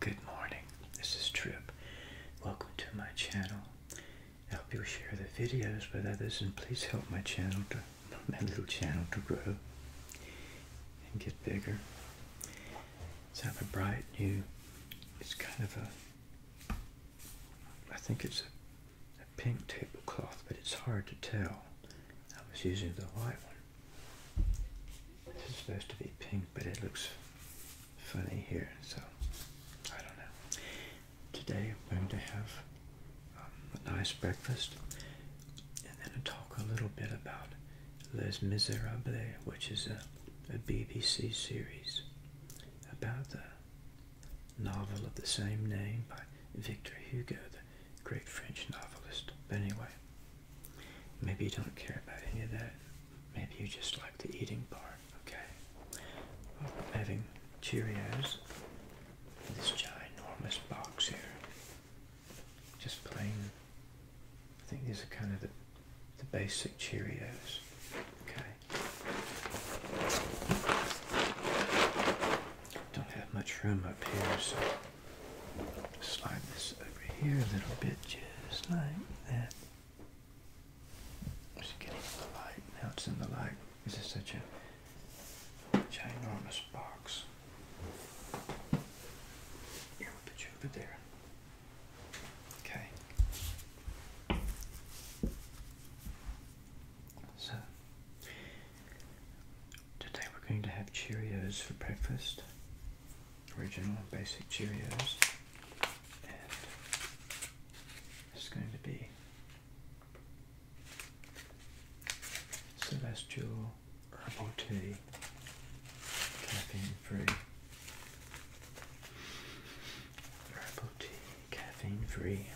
Good morning, this is Trip. Welcome to my channel. I hope you share the videos with others and please help my channel to my little channel to grow and get bigger. So I have a bright new it's kind of a I think it's a pink tablecloth, but it's hard to tell. I was using the white one. It's supposed to be pink, but it looks funny here, so I don't know. Today I'm going to have um, a nice breakfast and then talk a little bit about Les Miserables, which is a BBC series about the novel of the same name by Victor Hugo, the great French novelist. But anyway, Maybe you don't care about any of that. Maybe you just like the eating part, okay? I'm having Cheerios this ginormous box here. Just plain, I think these are kind of the, the basic Cheerios, okay? Don't have much room up here, so Slide this over here a little bit, just like that. Just getting the light. Now it's in the light. This is such a ginormous box. Yeah, we'll put you over there. Okay. So Today we're going to have Cheerios for breakfast. Original basic Cheerios. And it's going to be Celestial Herbal Tea. Caffeine free. Herbal tea, caffeine free.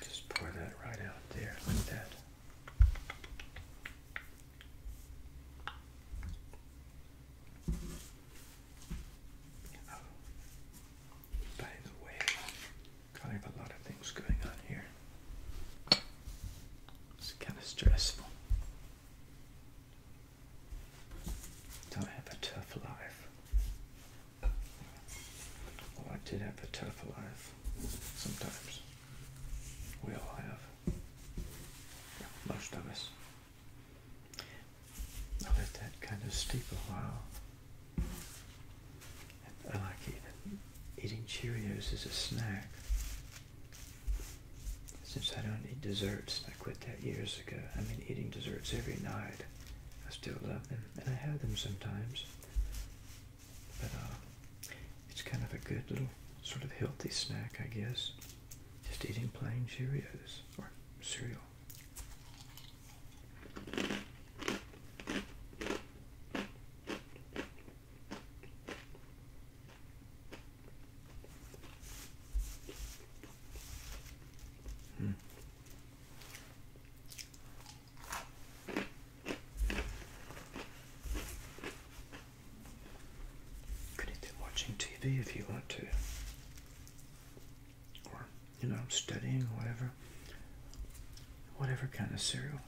Just pour that right out there like that. Oh, by the way, kind of a lot of things going on here. It's kind of stressful. Don't have a tough life. Well, oh, I did have a tough life sometimes. We all have. Most of us. I'll let that kind of steep a while. I like eating, eating Cheerios as a snack. Since I don't eat desserts, I quit that years ago. I mean, eating desserts every night. I still love them, and I have them sometimes. But uh, it's kind of a good little sort of healthy snack, I guess. Just eating plain Cheerios or cereal. Hmm. Could be watching TV if you want to or you know I'm studying or whatever whatever kind of cereal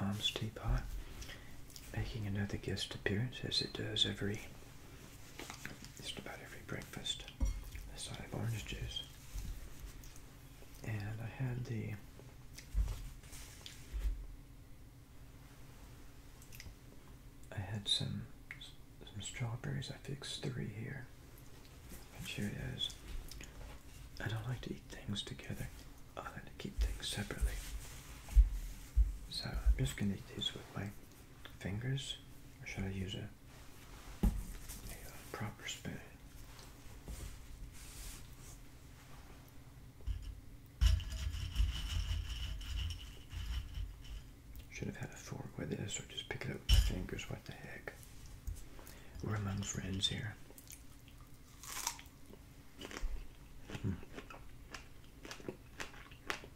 Mom's Teapot making another guest appearance as it does every just about every breakfast a side of orange juice. And I had the I had some some strawberries. I fixed three here. And Cheerios. I don't like to eat things together. Oh, I like to keep things separately. So I'm just gonna eat these with my fingers. Or should I use a proper spoon. Should have had a fork with this or just pick it up with my fingers. What the heck? We're among friends here. Hmm.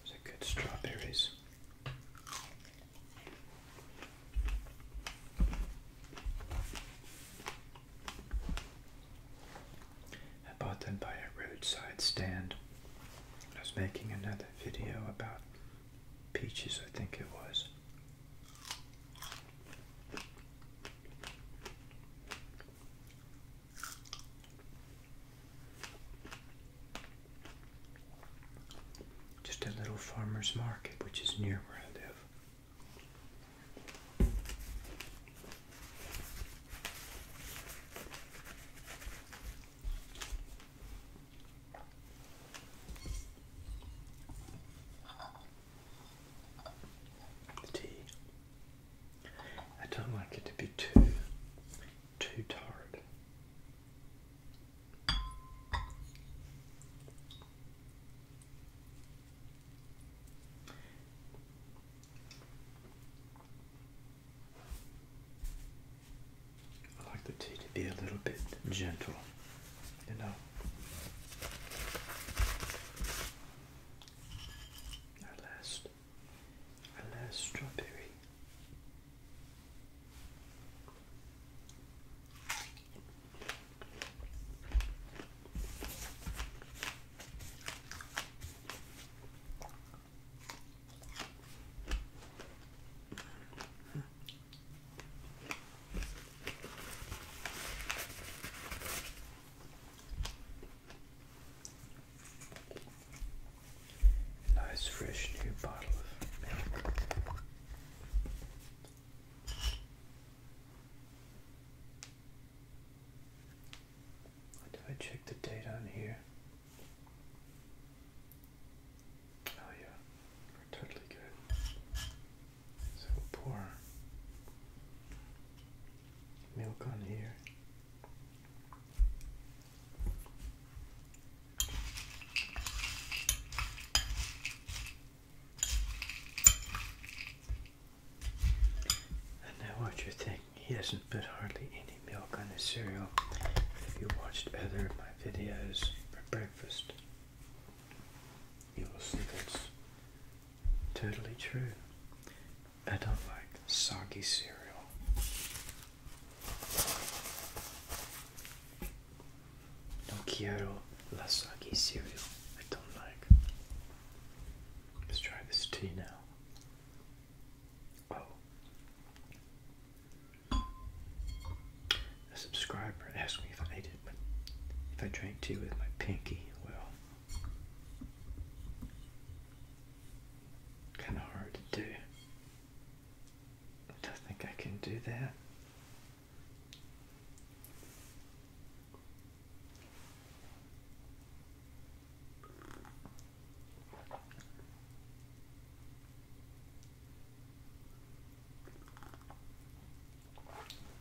Those are good strawberries. I bought them by a roadside stand. I was making another video about peaches, I think it was. Just a little farmer's market, which is near where I live. The tea. I don't like it to be too too tart. I like the tea to be a little bit gentle, you know. Our last, our last strawberry. Nice fresh new bottle of milk. Did I check the date on here? Oh yeah, we're totally good. So pour milk on here. And now what you think, he does not put hardly any milk on his cereal. If you watched other of my videos for breakfast, you will see that's totally true. I don't like soggy cereal. No quiero la soggy cereal. I don't like. Let's try this tea now. Oh. A subscriber asked me if I ate it, but if I drank tea with my pinky, well, kind of hard to do. I don't think I can do that.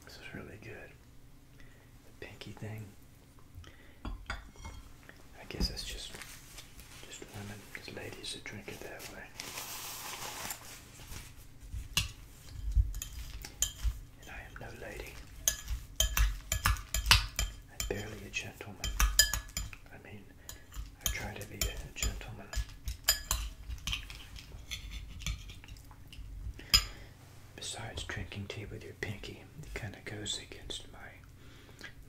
This is really good. The pinky thing. I guess that's just just women, because ladies who drink it that way. And I am no lady. I'm barely a gentleman. I mean, I try to be a gentleman. Besides drinking tea with your pinky, it kind of goes against my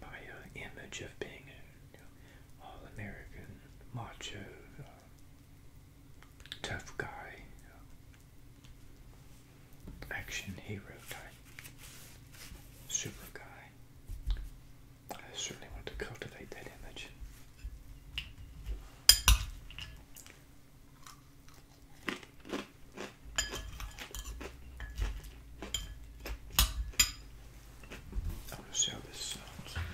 my uh, image of being an all-American macho uh, tough guy action hero type super guy. I certainly want to cultivate that image. I want to see how this sounds.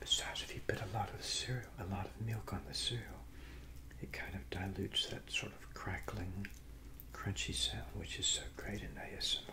Besides, if you put a lot of cereal, a lot of milk on the cereal, it kind of dilutes that sort of crackling, crunchy sound, which is so great in ASMR.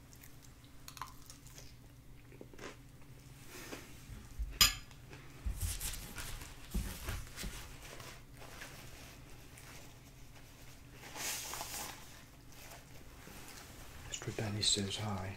Mr. Benny says hi.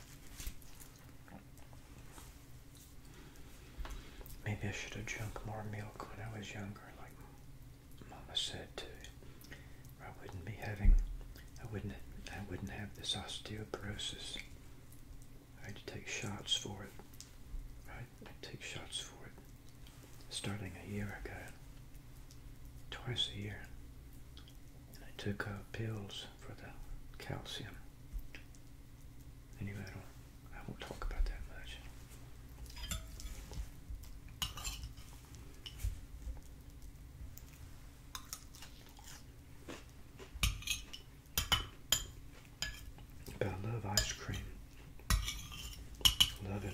Maybe I should have drunk more milk when I was younger, like Mama said To I wouldn't be having, I wouldn't, I wouldn't have this osteoporosis. I had to take shots for it. I take shots for it, starting a year ago, twice a year. I took uh, pills for the calcium. Anyway, I I won't talk about that much. But I love ice cream. Love it.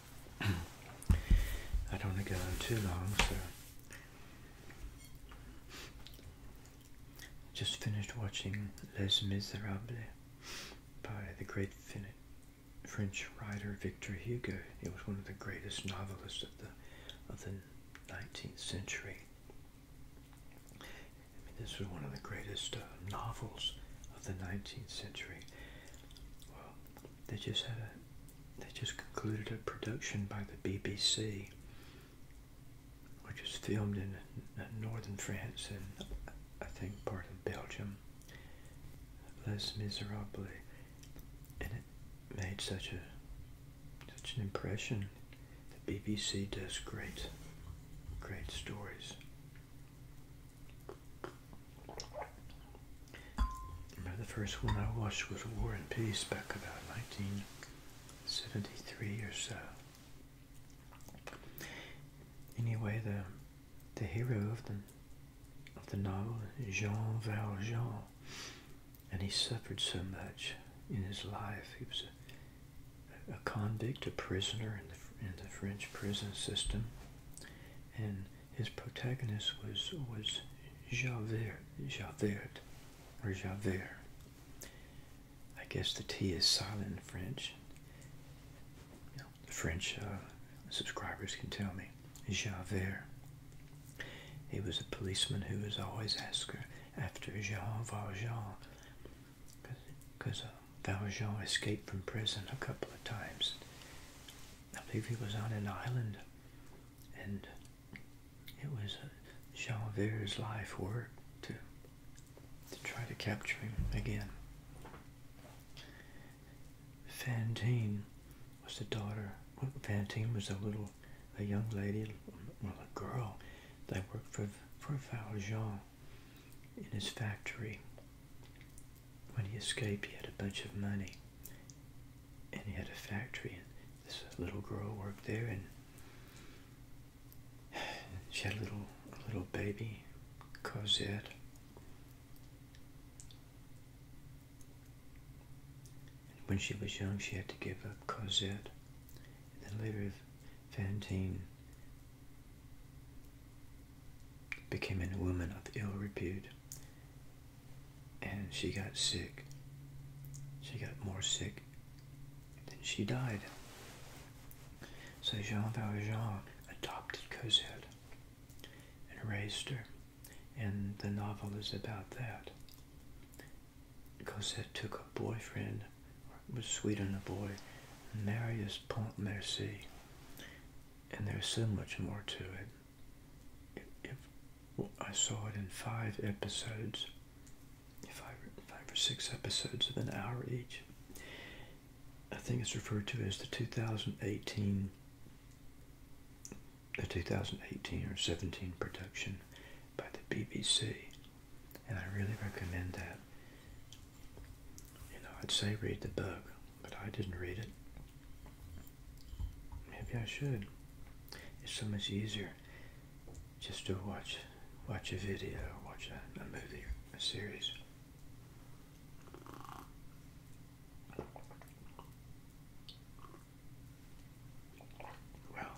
I don't want to go on too long, so just finished watching Les Miserables by the great fin French writer Victor Hugo. It was one of the greatest novelists of the of the 19th century. I mean, this was one of the greatest uh, novels of the 19th century. Well, they just had a they just concluded a production by the BBC, which was filmed in northern France and I think part of Belgium, Les Miserables, and it made such a such an impression. The BBC does great, great stories. Remember the first one I watched was War and Peace back about 1973 or so. Anyway, the the hero of the of the novel, Jean Valjean, and he suffered so much in his life. He was a, a convict, a prisoner in the in the French prison system, and his protagonist was was Javert, Javert, or Javert. I guess the T is silent in French. the French uh, subscribers can tell me. Javert. He was a policeman who was always asker after Jean Valjean, because uh, Valjean escaped from prison a couple of times. I believe he was on an island, and it was Jean Verre's life work to to try to capture him again. Fantine was the daughter. Fantine was a little, a young lady, well, a girl that worked for for Valjean in his factory, when he escaped, he had a bunch of money, and he had a factory, and this little girl worked there, and she had a little, little baby, Cosette. when she was young, she had to give up Cosette. And then later, Fantine became a woman of ill repute and she got sick. She got more sick then she died. So Jean Valjean adopted Cosette and raised her, and the novel is about that. Cosette took a boyfriend, was sweet on a boy, Marius Pontmercy, and there's so much more to it. If, I saw it in five episodes, five, five or six episodes of an hour each. I think it's referred to as the 2018, the 2018 or 17 production by the BBC, and I really recommend that. You know, I'd say read the book, but I didn't read it. Maybe I should. It's so much easier just to watch watch a video or watch a, movie or a series. Well,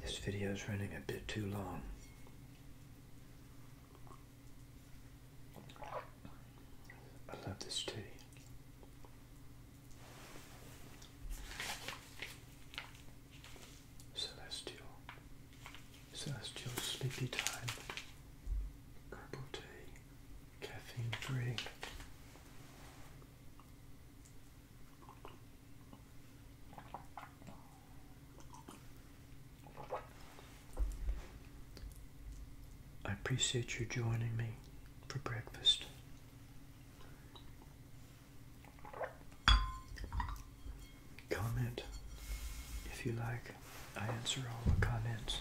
this video is running a bit too long. I love this tea. Celestial. Celestial sleepy time. Herbal tea. Caffeine free. I appreciate you joining me for breakfast. Comment if you like. I answer all the comments.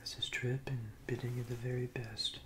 This is Trip and bidding you the very best.